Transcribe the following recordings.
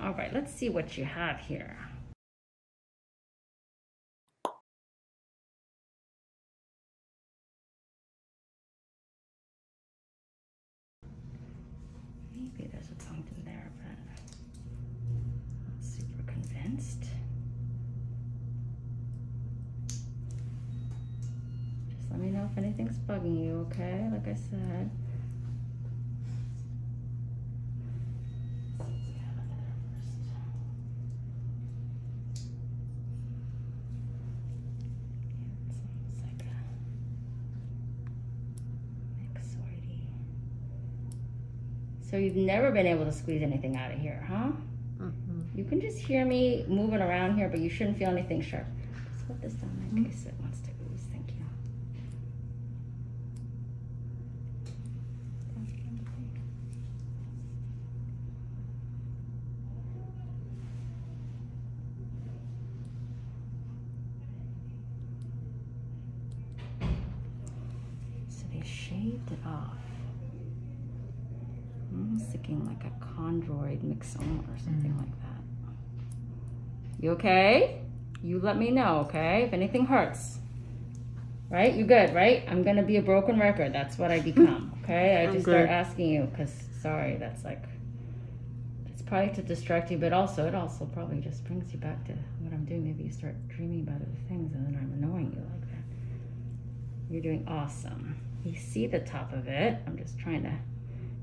All right, let's see what you have here. Maybe there's a in there, but I'm not super convinced. Just let me know if anything's bugging you, okay? Like I said. So you've never been able to squeeze anything out of here, huh? Mm-hmm. You can just hear me moving around here, but you shouldn't feel anything sharp. Let's put this down so they shaved it off. Almost hmm, looking like a chondroid myxoma or something mm. like that. You okay? You let me know, okay? If anything hurts. Right? You good, right? I'm going to be a broken record. That's what I become, okay? I just start asking you because, sorry, that's like, it's probably to distract you, but also, it also probably just brings you back to what I'm doing. Maybe you start dreaming about other things and then I'm annoying you like that. You're doing awesome. You see the top of it. I'm just trying to.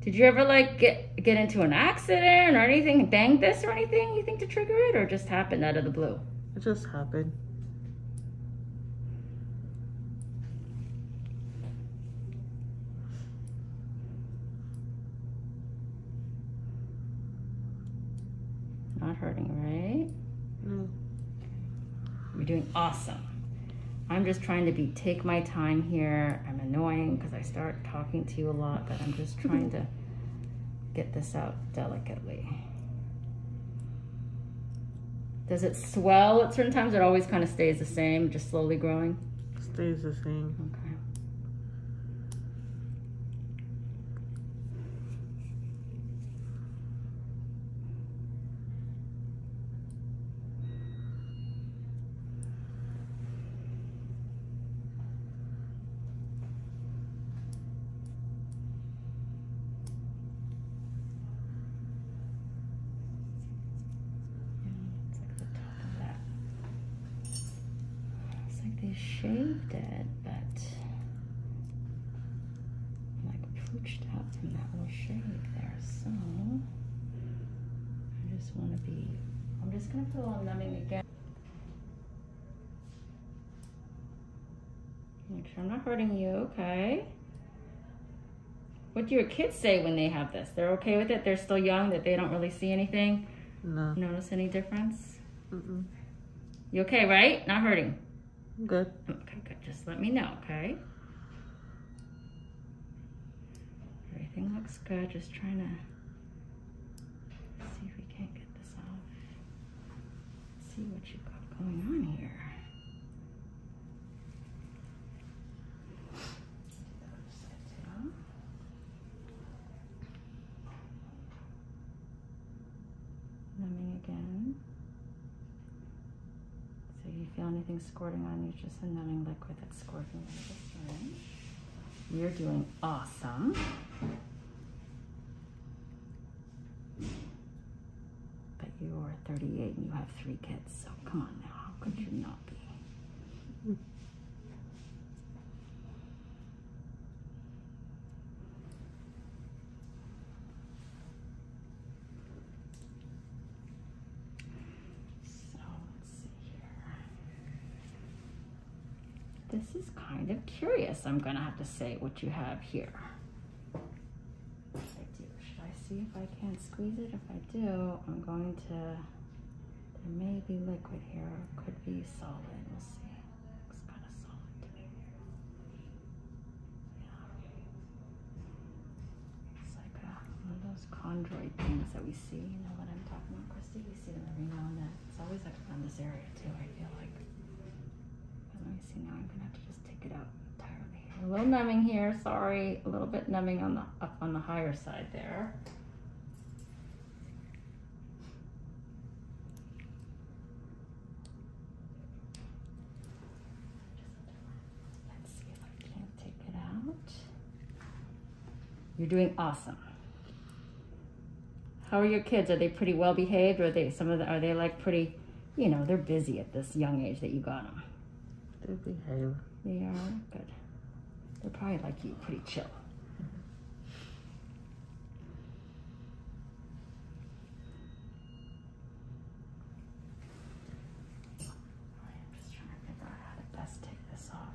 Did you ever like get get into an accident or anything? Bang this or anything? You think to trigger it, or just happen out of the blue? It just happened. Not hurting, right? No. You're doing awesome. I'm just trying to be take my time here. I'm annoying because I start talking to you a lot, but I'm just trying to get this out delicately. Does it swell at certain times? It always kind of stays the same, just slowly growing? Stays the same. Okay it's like the top of that. It's like they shaved it, but like pooched out from that little shave there. So I just want to be. I'm just gonna put a little numbing again. Make sure I'm not hurting you, okay? What do your kids say when they have this? They're okay with it? They're still young, that they don't really see anything? No. Notice any difference? Mm-mm. You okay, right? Not hurting? I'm good. Okay, good. Just let me know, okay? Everything looks good. Just trying to see if we can't get this off. see what you have got going on here. Numbing again. So you feel anything squirting on you, just a numbing liquid that's squirting in the syringe. You're doing awesome. But you're 38 and you have three kids, so come on now, how could you not be? This is kind of curious, I'm gonna have to say, what you have here. Should I see if I can squeeze it? If I do, I'm going to, there may be liquid here, could be solid, we'll see. Looks kind of solid It's like uh, one of those chondroid things that we see, you know what I'm talking about, Christy? We see them every now and then. It's always like around this area too, I feel like. Let me see now, I'm gonna have to just take it out entirely. A little numbing here, sorry. A little bit numbing on the on the higher side there. Let's see if I can take it out. You're doing awesome. How are your kids? Are they pretty well behaved? are they some of the, are they like pretty, you know, they're busy at this young age that you got them. They're behaving. They are good. They're probably like you, pretty chill. I'm just trying to figure out how to best take this off.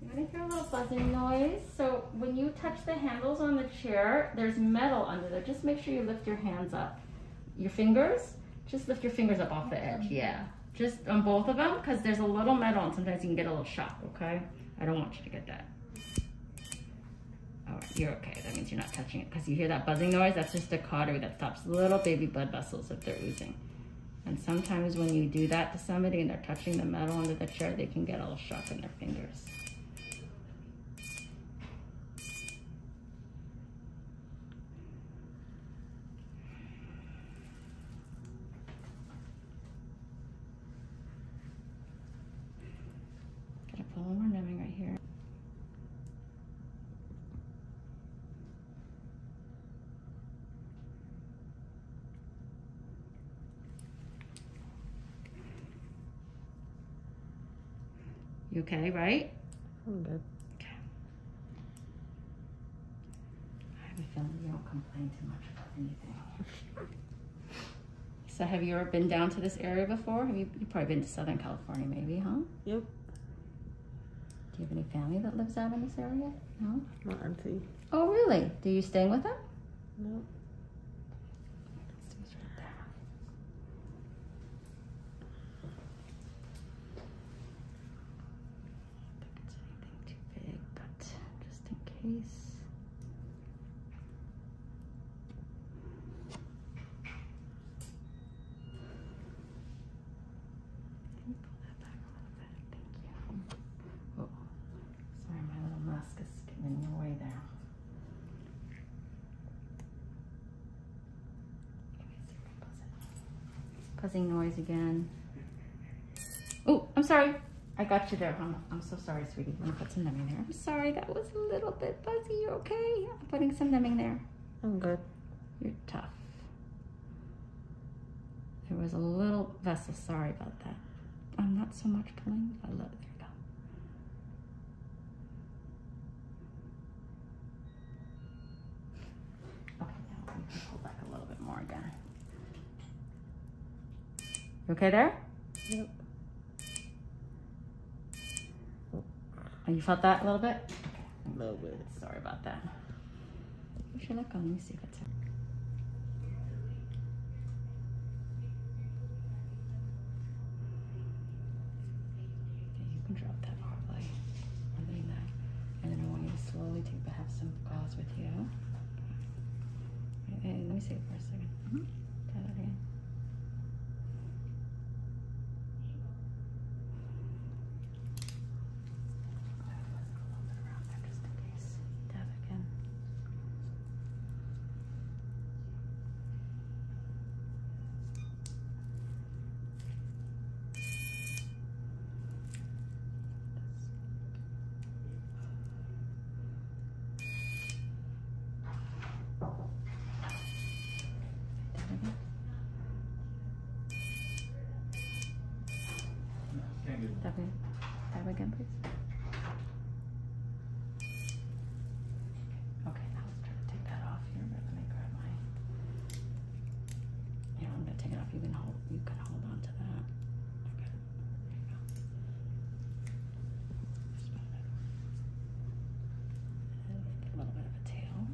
You're gonna hear a little buzzing noise. So when you touch the handles on the chair, there's metal under there. Just make sure you lift your hands up. Your fingers, just lift your fingers up off the edge, mm-hmm. yeah. Just on both of them, because there's a little metal and sometimes you can get a little shock, okay? I don't want you to get that. All right, you're okay. That means you're not touching it because you hear that buzzing noise. That's just a cautery that stops little baby blood vessels if they're oozing. And sometimes when you do that to somebody and they're touching the metal under the chair, they can get a little shock in their fingers. Gotta put more numbing right here. You okay, right? I'm good. Okay. I have a feeling you don't complain too much about anything. so have you ever been down to this area before? Have you, you've probably been to Southern California maybe, huh? Yep. Do you have any family that lives out in this area? No? Not auntie. Oh, really? Do you stay with them? No think it's anything too big, but just in case. Pull that back a little bit. Thank you. Oh, Sorry, my little mask is getting in your way there. Buzzing noise again. Oh, I'm sorry. I got you there. I'm, so sorry, sweetie. I'm gonna put some numbing there. I'm sorry, that was a little bit buzzy. You okay? I'm putting some numbing there. I'm good. You're tough. There was a little vessel. Sorry about that. I'm not so much pulling. I love it. There Okay, now pull back a little bit more again. You okay there? Yep. Oh, you felt that a little bit? A little bit. Sorry about that. Push your leg on. Let me see if it's you can drop that off by undoing that. And then I want you to slowly take, but have some gauze with you. let me see it for a second. Mm-hmm. again. Tap it. Tap again, please. Okay, now let's try to take that off here. let me grab my. You I'm gonna take it off. You can hold. You can hold on to that. Okay. There you go. a little bit of a tail.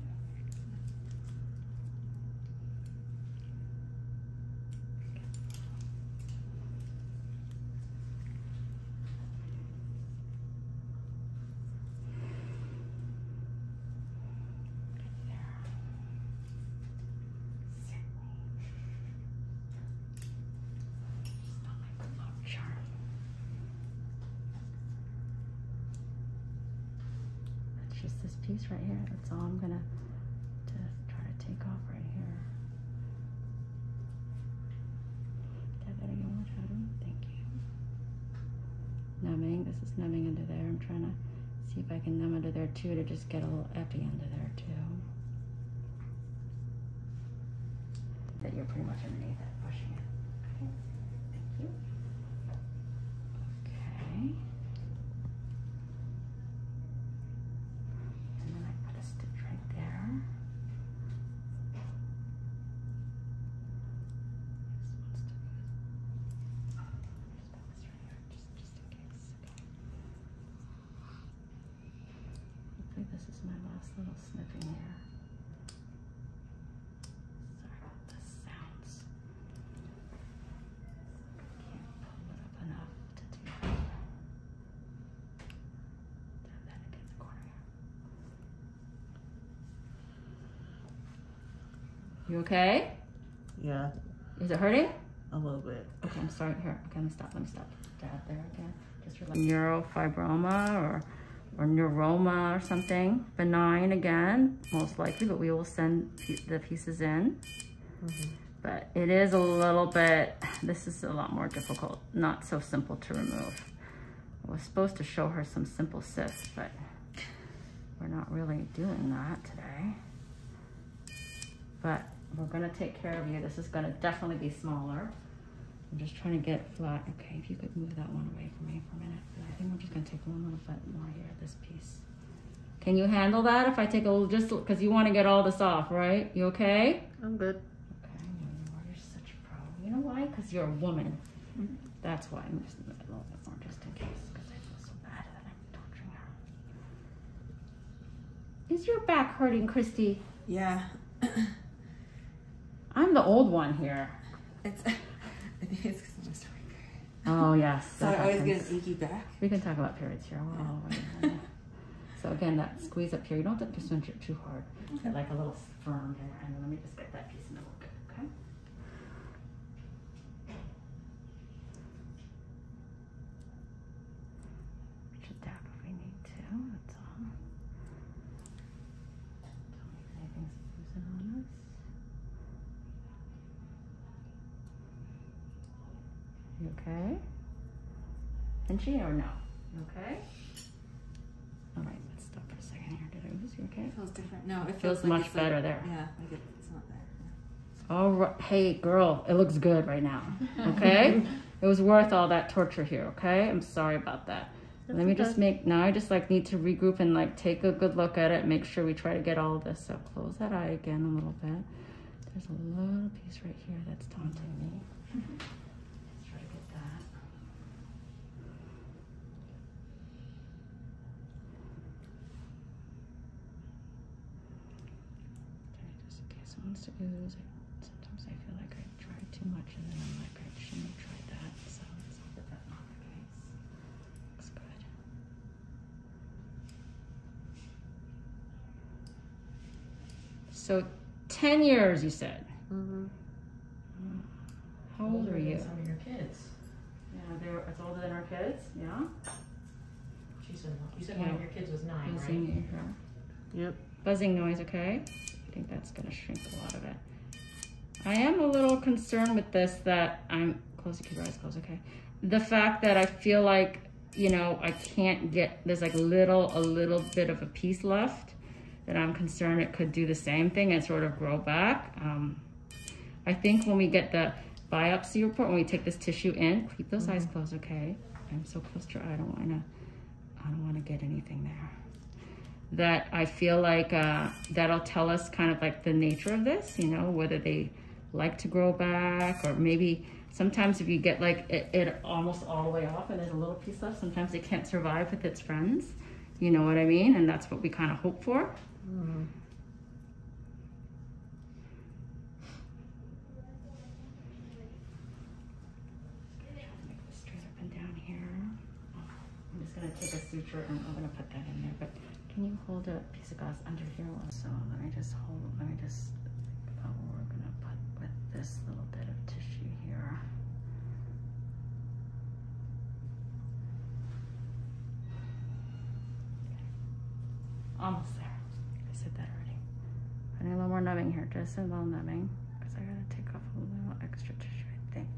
It's just this piece right here. That's all I'm gonna just try to take off right here that more Thank you. Numbing. This is numbing under there. I'm trying to see if I can numb under there too to just get a little epi under there too. That you're pretty much underneath it, pushing it. Okay. Thank you. Okay and then I put a stitch right there. This this is my last little snipping here. Sorry about the sounds. can't pull it up enough to do that. You okay? Yeah. Is it hurting? A little bit. Okay, I'm sorry. Here, okay, let me stop. Let me stop. there again. Just relax. Neurofibroma or or neuroma or something. Benign again, most likely, but we will send the pieces in. Mm-hmm but it is a little bit, this is a lot more difficult, not so simple to remove. I was supposed to show her some simple cysts, but we're not really doing that today. But we're gonna take care of you. This is gonna definitely be smaller. I'm just trying to get flat. Okay, if you could move that one away from me for a minute. I think we're just gonna take one little bit more here, this piece. Can you handle that if I take a little, just because you wanna get all this off, right? You okay? I'm good. Okay, you are such a pro. You know why? Because you're a woman. That's why I'm using a little bit more just in case, Is your back hurting, Christy? Yeah. I'm the old one here. It's. I think it's because I'm just Oh yes. I always get an achy back. We can talk about periods here. So again, that squeeze up here, you don't have to cinch it too hard. Like a little firm here, and let me just get that piece in the work. bit, okay? Should dab if we need to, that's all. anything's losing on us. Okay. And she or no? okay? All right, let's stop for a second here. Did I lose you okay? It feels different. No, it feels, much better there. Yeah, like it's not there. Yeah. All right, hey girl, it looks good right now. Okay, it was worth all that torture here. Okay, I'm sorry about that. Let me just make now. I just like need to regroup and like take a good look at it. Make sure we try to get all of this. So close that eye again a little bit. There's a little piece right here that's taunting me. try to get that. Okay, just in case it wants I, sometimes I feel like I try too much and then I'm like, I shouldn't have tried that. So let that's not the case. Looks good. So 10 years, you said. Mm-hmm. How old are you? Some of your kids. Yeah, they're, it's older than our kids, yeah. She said, you said one of your kids was nine, Buzzing, right? Yeah. Yep. Buzzing noise, okay? I think that's gonna shrink a lot of it. I am a little concerned with this that I'm, close, keep your eyes closed, okay? The fact that I feel like you know, I can't get, there's like little, a little bit of a piece left that I'm concerned it could do the same thing and sort of grow back. Um, I think when we get the biopsy report, when we take this tissue in, keep those eyes mm-hmm. closed, okay? I'm so close to, I don't wanna, I don't wanna get anything there. That I feel like uh, that'll tell us kind of like the nature of this, you know, whether they like to grow back or maybe Sometimes if you get like it, almost all the way off and there's a little piece left, sometimes it can't survive with its friends. You know what I mean? And that's what we kind of hope for. Mm. take a suture and I'm gonna put that in there, but can you hold a piece of gauze under here? So let me just hold, let me just, oh, we're gonna put with this little bit of tissue here. Almost there. I said that already. I need a little more numbing here, just a little numbing, because I gotta take off a little extra tissue, I think.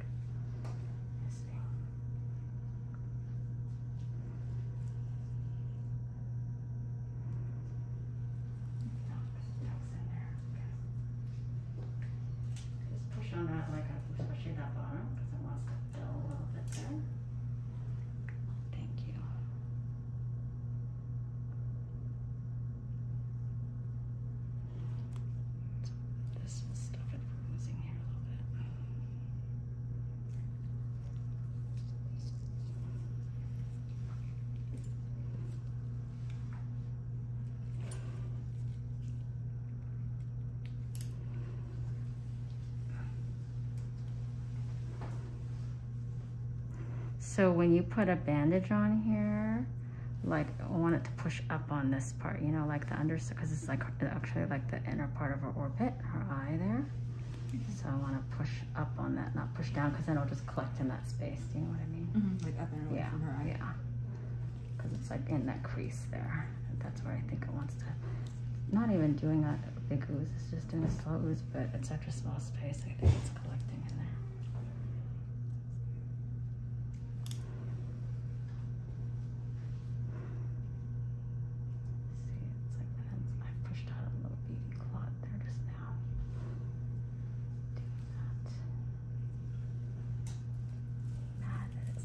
Just push on that like I'm pushing that bottom because it wants to fill a little bit there. Thank you. this will stop it from losing here a little bit. So when you put a bandage on here, like I want it to push up on this part, you know, like the under, because it's like actually like the inner part of her orbit, her eye there. Mm-hmm. So I want to push up on that, not push down, because then it'll just collect in that space. Do you know what I mean? Mm-hmm, like up and away yeah, from her eye. Yeah, because it's like in that crease there. That's where I think it wants to. Not even doing a big ooze, it's just doing a slow ooze, but it's such a small space. I think it's collecting in there. See, it's like I pushed out a little beady clot there just now now. Doing that.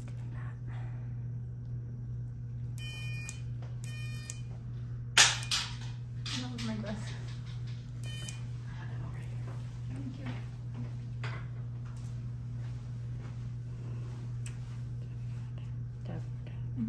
that was my breath. Thank you. Dab, dab.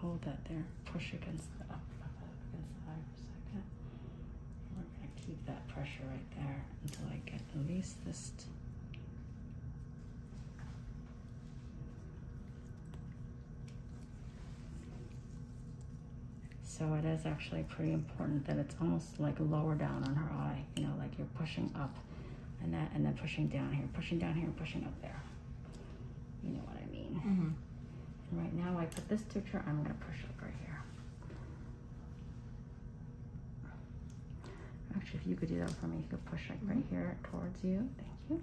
hold that there. Push against the up against the eye for a second. We're gonna keep that pressure right there until I get at least this. So it is actually pretty important that it's almost like lower down on her eye, you know, like you're pushing up and that, and then pushing down here, pushing down here, pushing up there. You know what I mean? Mm-hmm. right now I put this picture, I'm gonna push up right here. Actually, if you could do that for me, you could push like right mm-hmm. here towards you. Thank you.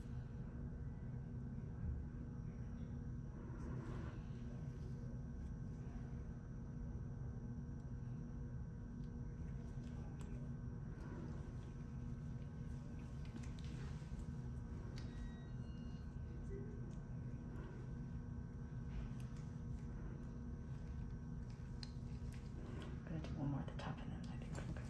one more at the top and then I think I'm good.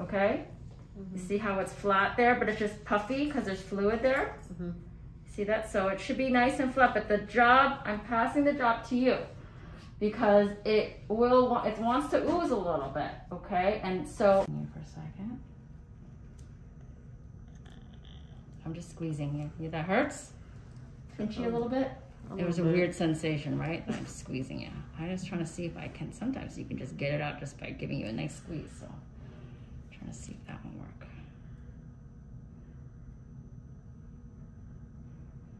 Okay? You see how it's flat there, but it's just puffy because there's fluid there? Mm-hmm. See that? So it should be nice and flat, but the job, I'm passing the job to you because it will, it wants to ooze a little bit, okay? And so, for a second. I'm just squeezing you. That hurts? Pinchy a little bit? it was a weird sensation, right? I'm squeezing you. I'm just trying to see if I can, sometimes you can just get it out just by giving you a nice squeeze. So I'm trying to see if that will work.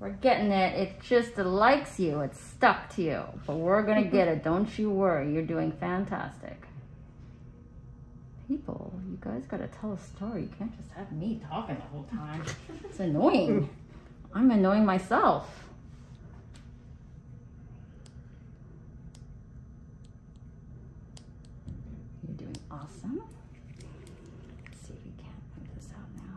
We're getting it. It just likes you. It's stuck to you. But we're going to mm-hmm. get it. Don't you worry. You're doing fantastic. People, you guys got to tell a story. You can't just have me talking the whole time. It's annoying. I'm annoying myself. You're doing awesome. Let's see if we can move this out now.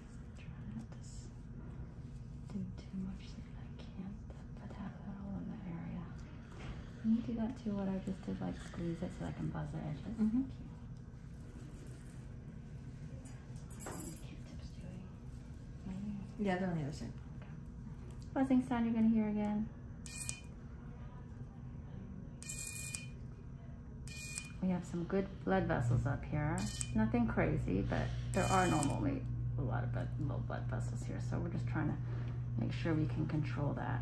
trying not to do too much that I can't, but have all in the area. Can you do that too? What I just did, like squeeze it so I can buzz the edges. Mm -hmm. Yeah, they're on the other side. Okay. Buzzing sound you're gonna hear again. We have some good blood vessels up here. Nothing crazy, but there are normally a lot of blood, blood vessels here. So we're just trying to make sure we can control that.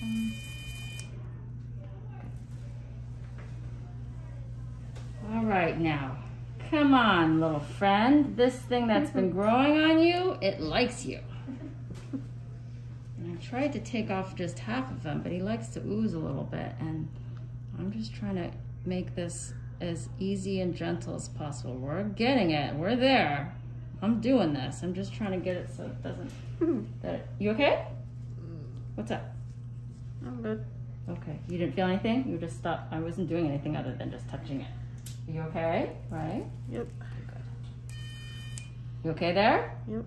Came All right now, come on little friend. This thing that's been growing on you, it likes you. I tried to take off just half of him, but he likes to ooze a little bit. And I'm just trying to make this as easy and gentle as possible. We're getting it. We're there. I'm doing this. I'm just trying to get it so it doesn't. Hmm. you okay? What's up? I'm good. Okay. You didn't feel anything? You just stopped. I wasn't doing anything other than just touching it. you okay? Right? Yep. You okay there? Yep.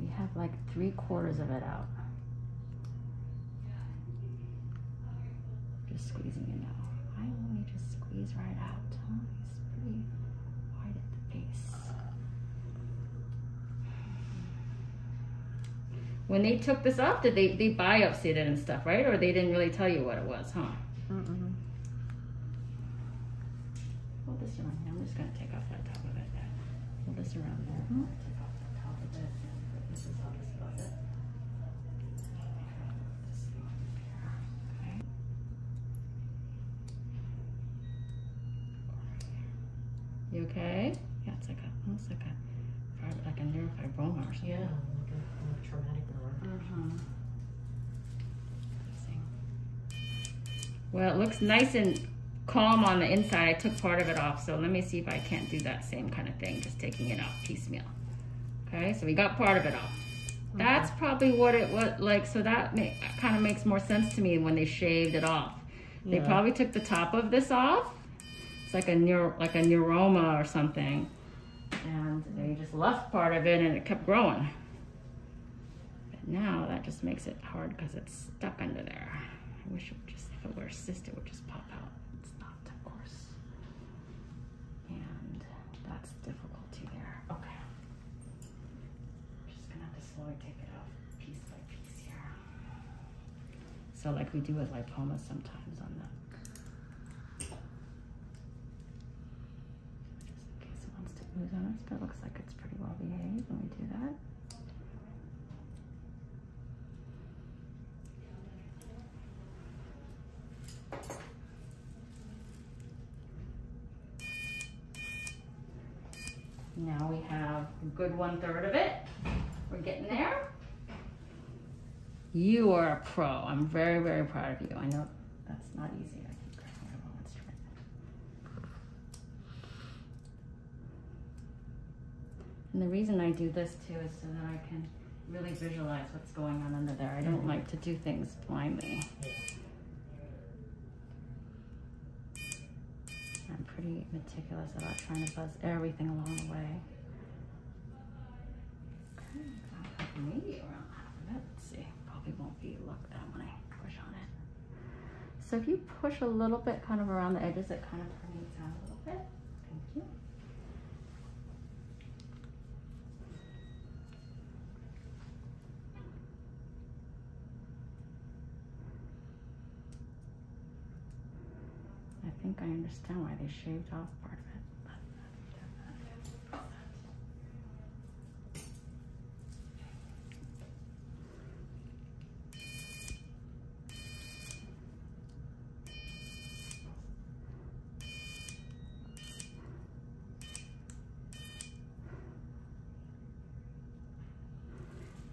We have like three quarters of it out. Just squeezing it out. I only just squeeze right out. Huh? It's pretty wide at the base. When they took this off, did they, they biopsied it and stuff, right? Or they didn't really tell you what it was, huh? Mm -mm. Hold this around here. I'm just going to take off that top of it. Hold this around there. Mm -hmm. You okay? Yeah, it's like a, almost like a, like a neurofibroma or something. Yeah, like a, traumatic neurofibroma. Mm-hmm. Well, it looks nice and calm on the inside. I took part of it off, so let me see if I can't do that same kind of thing, just taking it off piecemeal. Okay, so we got part of it off. That's probably what it was like, so that make, kind of makes more sense to me when they shaved it off. They probably took the top of this off. It's like a neuro, like a neuroma or something. And they just left part of it and it kept growing. But now that just makes it hard because it's stuck under there. I wish it would just, if it were a cyst, it would just pop out. It's not, of course. And that's the difficulty there. Okay. just gonna have to slowly take it off piece by piece here. So like we do with lipoma sometimes on the just in wants to ooze on us, but it looks like it's pretty well behaved when we do that. Now we have a good one third of it. We're getting there. You are a pro. I'm very, very proud of you. I know that's not easy. And the reason I do this too is so that I can really visualize what's going on under there. I don't mm-hmm. like to do things blindly. I'm pretty meticulous about trying to buzz everything along the way. maybe around half of it. see, probably won't be look that when I push on it. So if you push a little bit kind of around the edges, it kind of brings out a little bit. Thank you. I think I understand why they shaved off part of it.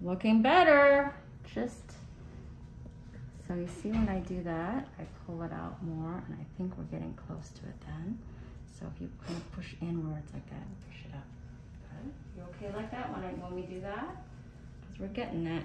Looking better. Just, so you see when I do that, I pull it out more and I think we're getting close to it then. So if you kind of push inwards like that push it up. You okay like that when, I, when we do that? Because we're getting it.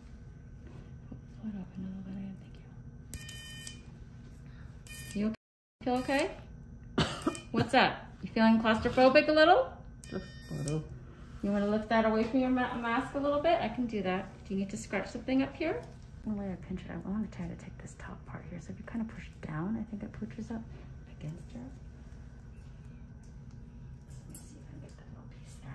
you. okay? You okay? What's up? You feeling claustrophobic a little? Just a little. You want to lift that away from your mask a little bit? I can do that. Do you need to scratch something up here? The way I pinch it, I want to try to take this top part here. So if you kind of push down, I think it pushes up against her. Let me see if I get that little piece there.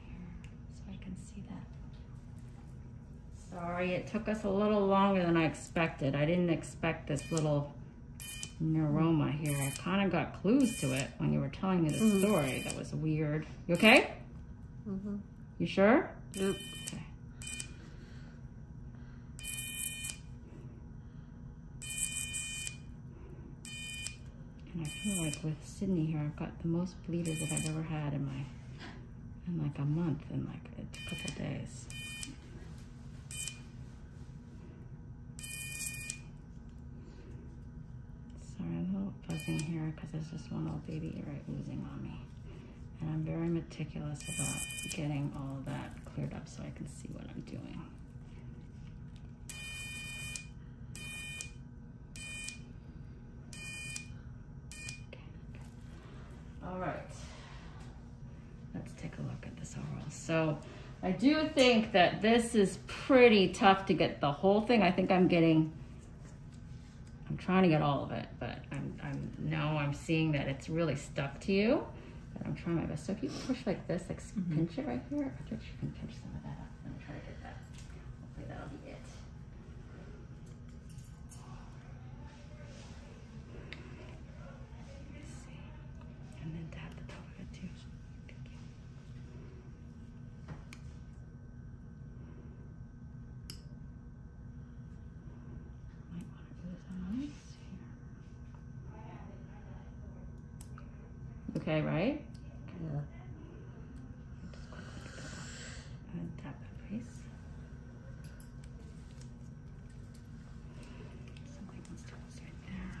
so I can see that. Sorry, it took us a little longer than I expected. I didn't expect this little an aroma here. I kind of got clues to it when you were telling me the mm. story. That was weird. You okay? hmm You sure? Yep. Okay. And I feel like with Sydney here, I've got the most bleeders that I've ever had in my, in like a month, in like a couple days. Sorry, I'm a little buzzing here because there's just one little baby ear oozing on me. And I'm very meticulous about getting all that cleared up so I can see what I'm doing. All right, let's take a look at this overall. So I do think that this is pretty tough to get the whole thing. I think I'm getting, I'm trying to get all of it, but I'm, No, I'm seeing that it's really stuck to you. But I'm trying my best. So if you push like this, like mm-hmm. pinch it right here, I bet you can pinch some of that up. Let me to get that. Hopefully that'll be it. And then tap the top of it too. Okay, right? Yeah. tap that place. Something wants to go right there.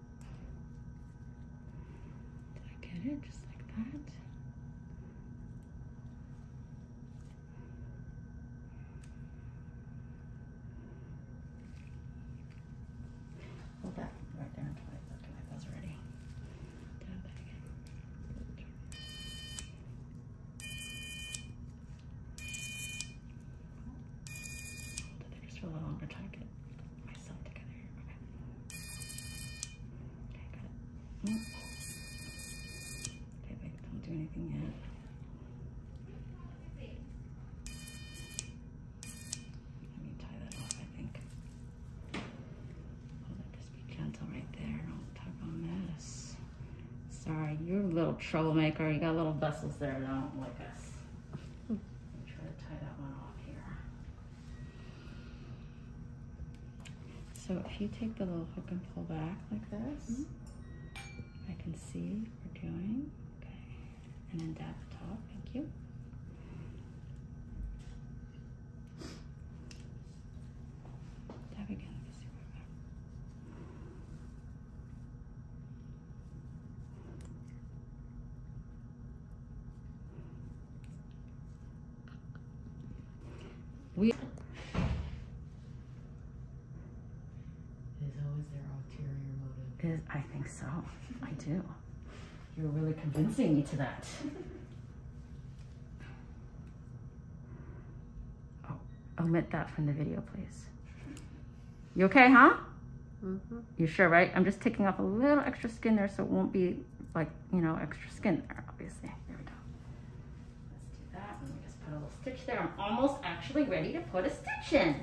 Did I get it just like that? Hold that right there until I look my buzz ready. Dab that again. Hold it there just for a little longer, tuck it myself together. I don't do anything yet. Let me tie that off, I think. i be gentle right there. Don't tug on this. Sorry, you're a little troublemaker. You got little vessels there that don't like us. Try to tie that one off here. So if you take the little hook and pull back like this, I can see what we're doing. Okay. And then dab the top, thank you. Dab again, let me see where we is always their ulterior motive. Is, I think so. I do. You're really convincing me to that. oh, omit that from the video, please. You okay, huh? Mm-hmm. You sure, right? I'm just taking off a little extra skin there so it won't be like, you know, extra skin there, obviously. There we go. Let's do that. Let me just put a little stitch there. I'm almost actually ready to put a stitch in.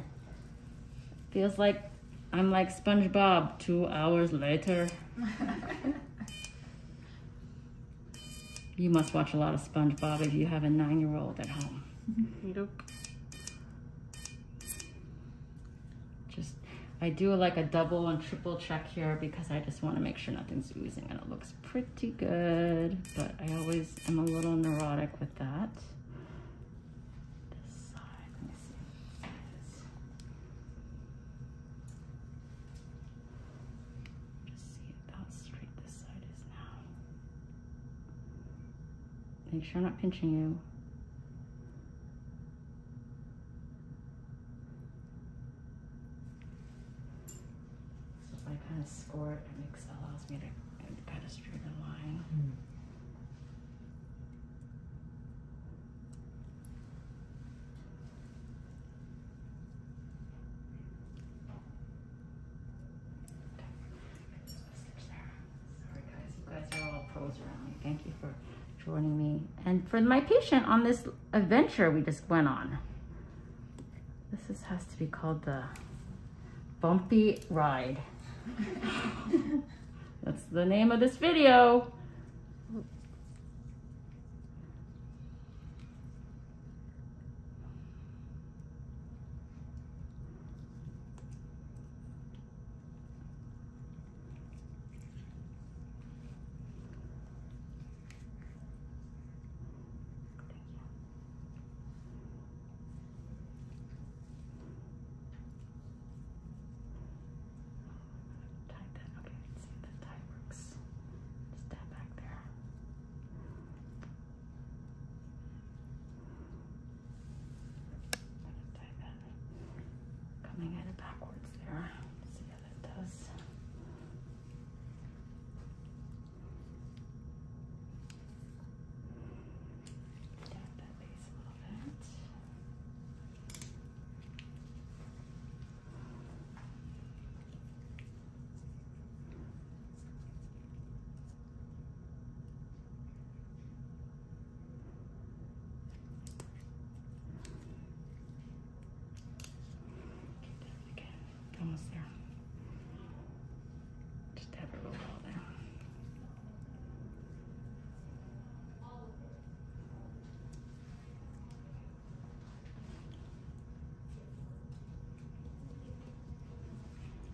Feels like I'm like SpongeBob two hours later. you must watch a lot of SpongeBob if you have a nine-year-old at home. Nope. Just, I do like a double and triple check here because I just want to make sure nothing's oozing and it looks pretty good, but I always am a little neurotic with that. Make sure I'm not pinching you. So if I kind of score it, it makes allows me to kind of strew the line. Sorry guys, you guys are all pros around me. Thank you for joining me and for my patient on this adventure we just went on. This has to be called the bumpy ride. That's the name of this video. Tie that. Okay, I can see if that tie works. Just tap back there. I'm gonna tie that coming at it backwards there. Let's see how that does. Tap that base a little bit. Okay, Again. Almost there. Just have it roll down.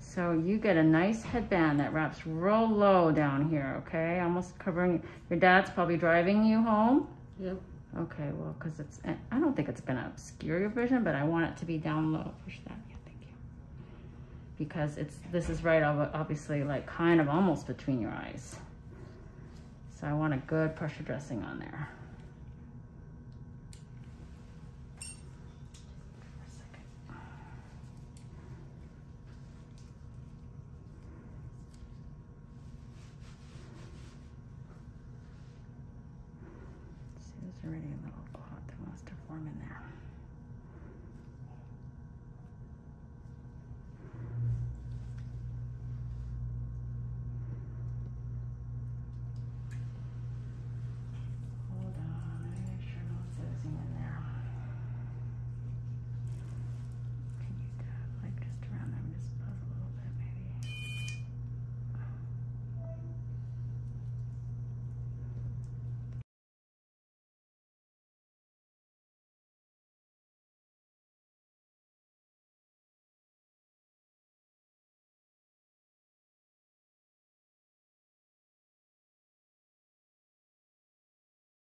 So you get a nice headband that wraps real low down here, okay? Almost covering your dad's probably driving you home? Yep. Okay, well, because it's, eh, I don't think it's going to obscure your vision, but I want it to be down low. Push that, yeah, thank you. Because it's, this is right, obviously, like kind of almost between your eyes. So I want a good pressure dressing on there. See, there's already a little clot that wants to form in there. Hold on, I make sure no one's in there. Can you tap like just around them, just buzz a little bit maybe?